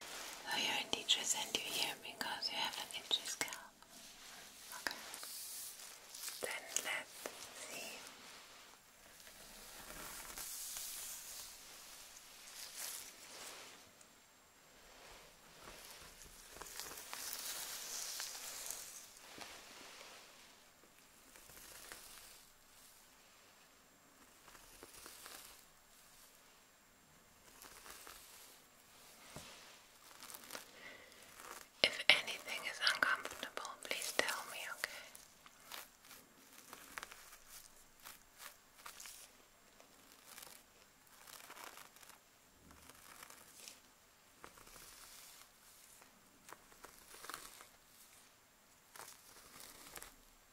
So oh, you teacher sent you here because you have an itchy scalp. Okay. Then let's see. If anything is uncomfortable, please tell me, okay?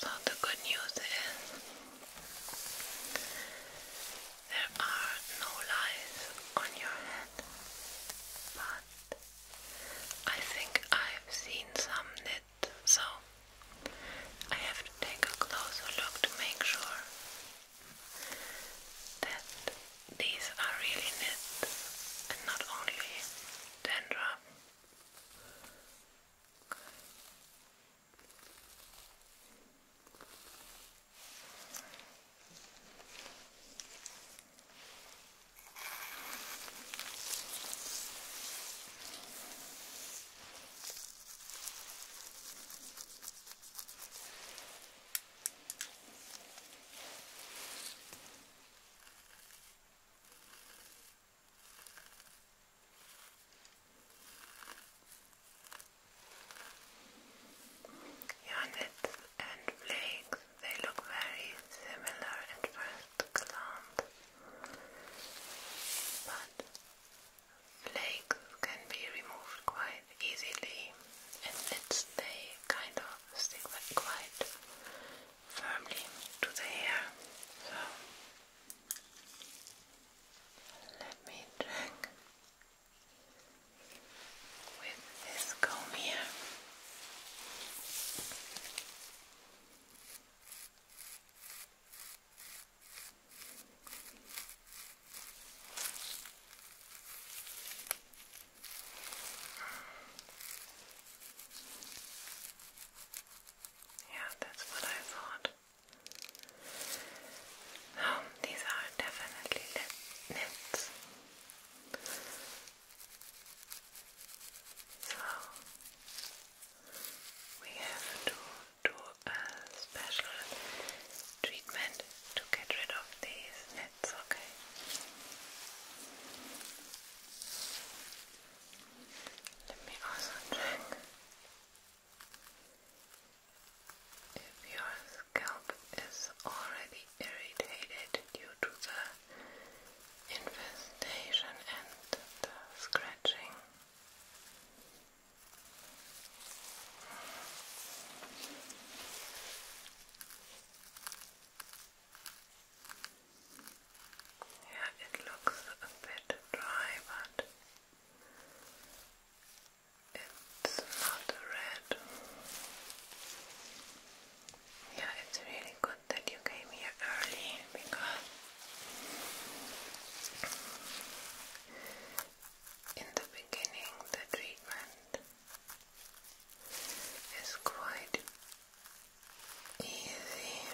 So the good news is there are no lies on your head, but I think I've seen some knit, so I have to take a closer look to make sure that these are really nets and not only dandruff. Units and flakes, they look very similar at first glance, but legs can be removed quite easily and it's, they kind of stick quite firmly to the hair. So let me check with this comb here. Yeah, that's what I thought. Um, these are definitely nets. So we have to do a special treatment to get rid of these nets, okay? Let me also check if your scalp is already irritated due to the infestation and the scratching. Okay. Yeah, it looks a bit dry, but it's not red. Yeah, it's really good that you came here early because in the beginning, the treatment is quite easy.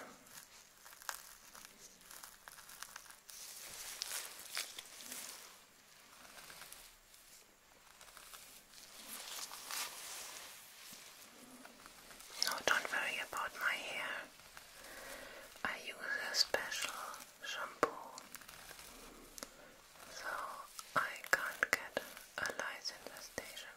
No, don't worry about my hair. I use a special shampoo. So I can't get a lice station.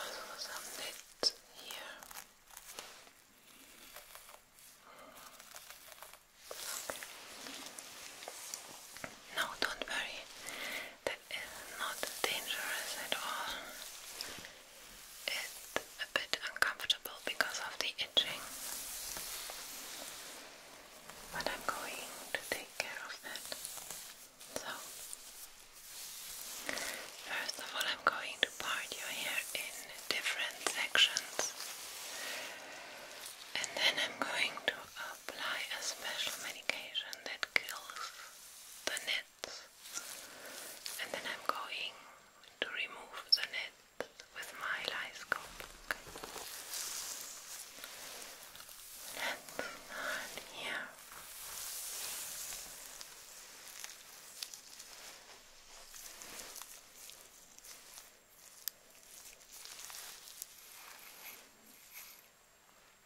also some knit here. No, don't worry that is not dangerous at all. It's a bit uncomfortable because of the itching. But I'm going to take care of that. So, first of all, I'm going to part your hair in different sections. And then I'm going to apply a special medication that kills the net and then I'm going to remove the net with my lyscope. Let's start here.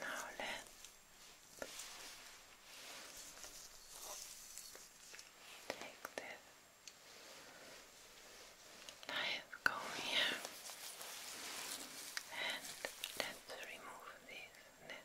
Now let take this knife go here and let's remove this net.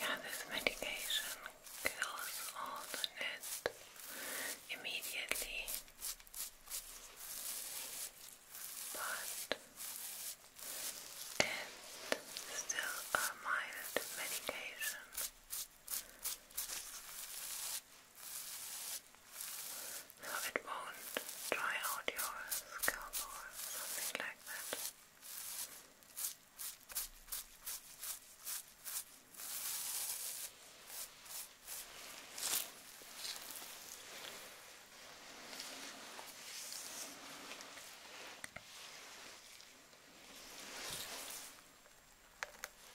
Yeah, this medication kills all the net immediately, but it's still a mild medication. So it won't dry out your scalp or something like that.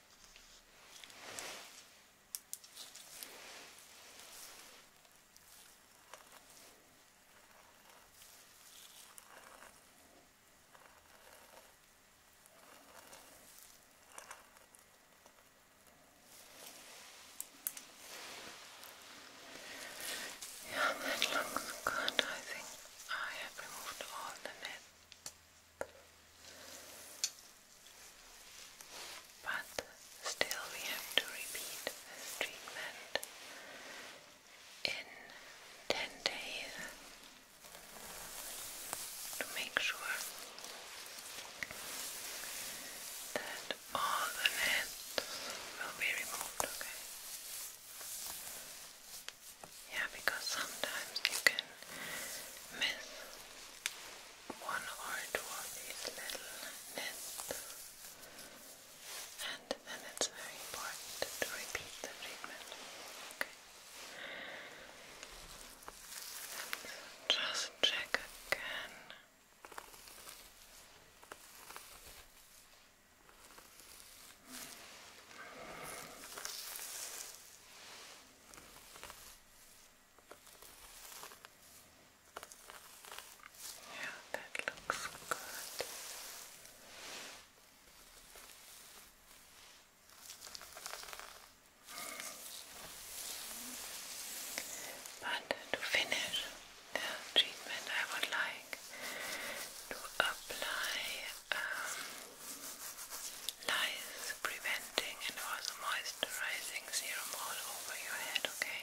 Yeah, that looks good. I think I have removed all the net but still, we have to repeat this treatment in 10 days to make sure that all the nets will be removed, okay? Yeah, because sometimes you can miss one or two of these little nests, and then it's very important to repeat the treatment. Okay. just check again. Yeah, that looks good. But to finish the treatment, I would like to apply um, nice preventing and also moisturizing serum all over your head, okay?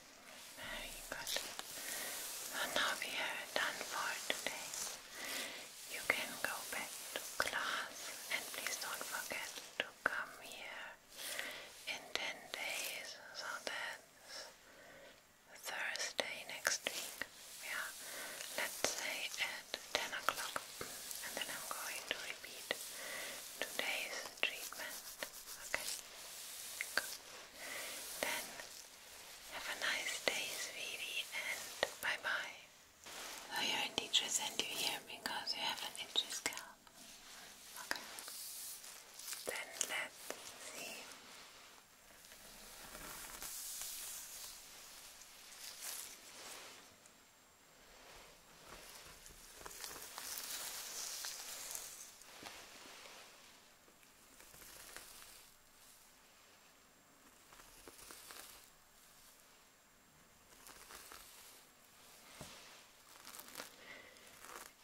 Very good. And now we done for today. You can go back to class and please don't forget to come here in 10 days so that Thursday next week. Yeah, let's say at 10 o'clock. And then I'm going to repeat today's treatment. Okay. Good. Then have a nice day, sweetie, and bye bye. So oh, you're a teacher sent you here because you have an itchy scalp. Then let's see.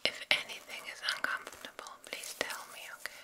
If anything is uncomfortable, please tell me, okay?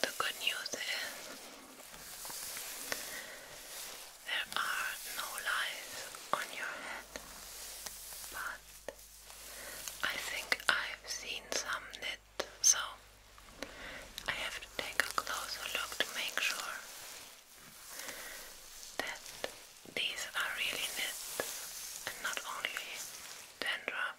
the good news is there are no lies on your head, but I think I've seen some that so I have to take a closer look to make sure that these are really knit and not only dandruff.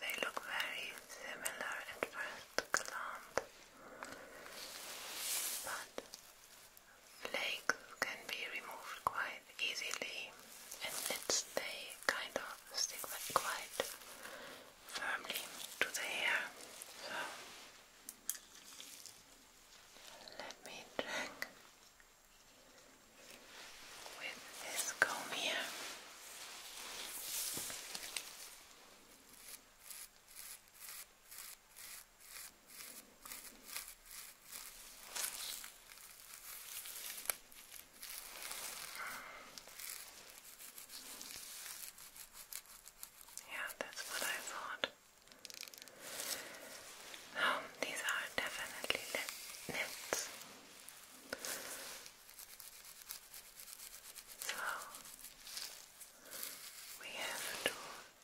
They look very similar at first glance, but flakes can be removed quite easily and let's they kind of stick quite firmly to the hair. So let me check with this comb here. Yeah, that's what I thought. Um, these are definitely knits. So, we have to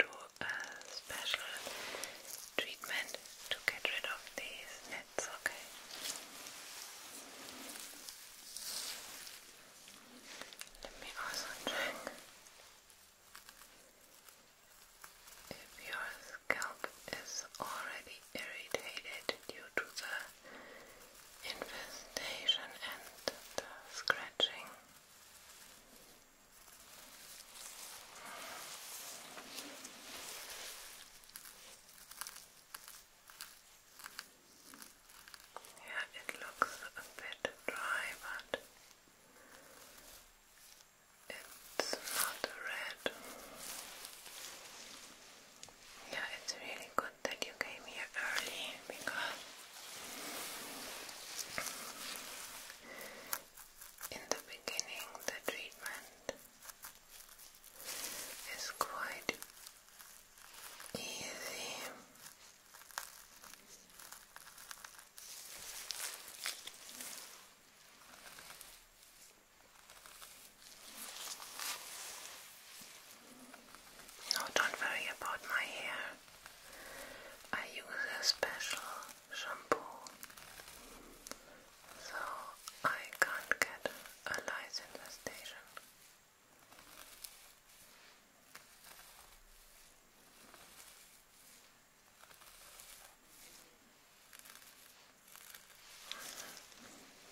do a special treatment to get rid of these nets, okay? Let me also check if your scalp is already irritated due to the infestation and the scratching. Yeah, it looks a bit dry, but it's not red. Yeah, it's really good good that you came here early because in the beginning the treatment is quite easy. No, don't worry about my hair. I use a special shampoo, so I can't get a lice in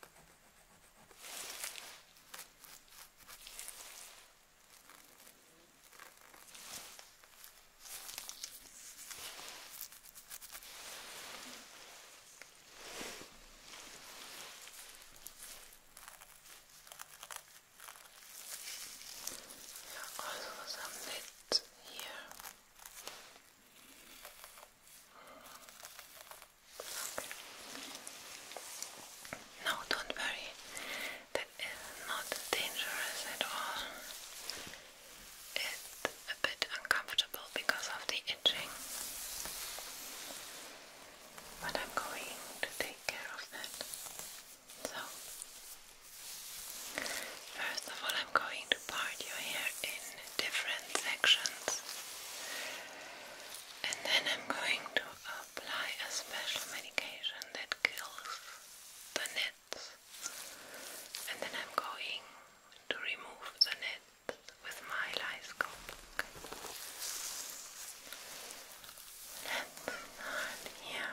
There are also some bits here. No, don't worry. That is not dangerous at all. It's a bit uncomfortable because of the itching. But I'm going to take care of that. So, first of all, I'm going to part your hair in different sections. And then I'm going to apply a special medication that kills the nets, And then I'm going to remove the nets with my lyscope. Let's start here.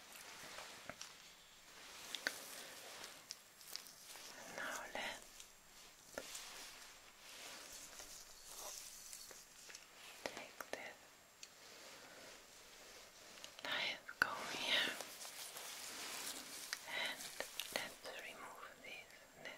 Now let take this light comb here and let's remove this nip.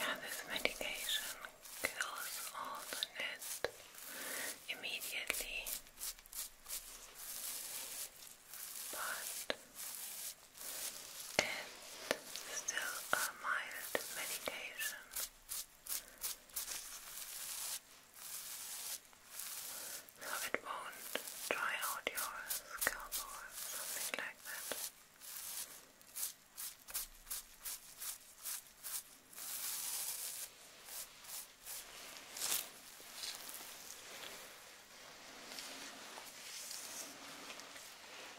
Yeah, this medication kills all the nest immediately, but and still a mild medication. So it won't dry out your scalp or something like that.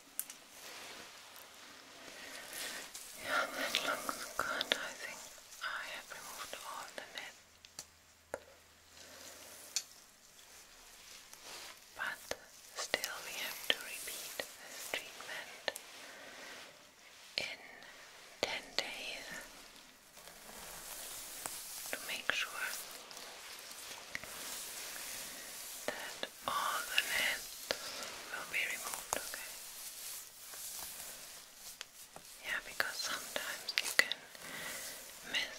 Yeah, that looks I think I have removed all the net. But still we have to repeat this treatment in 10 days to make sure that all the net will be removed, okay? Yeah, because sometimes you can miss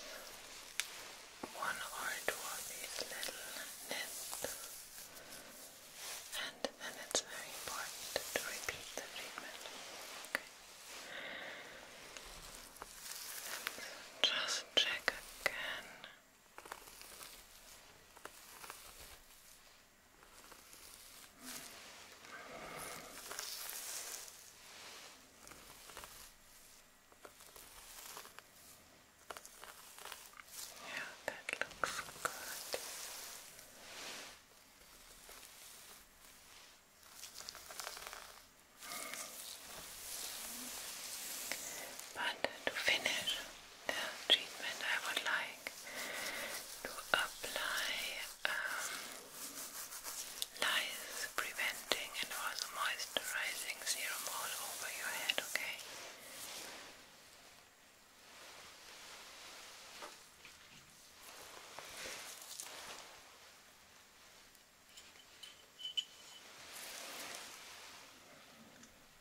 one or two of these little nets, and then it's very important to repeat the treatment. Okay. just check again. Yeah, that looks good. But to finish, the treatment I would like to apply um, lies preventing and also moisturizing serum all over your head, Okay.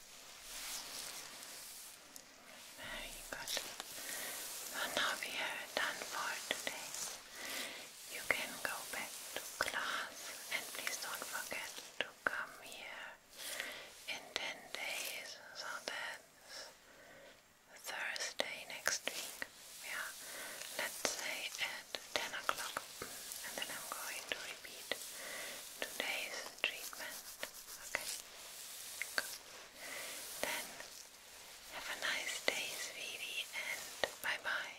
Very good. Well, now we done for today. You can go back to class and please don't forget to come here in 10 days so that Thursday next week, yeah, let's say at 10 o'clock and then I'm going to repeat today's treatment. Okay. Then have a nice day, sweetie, and bye bye.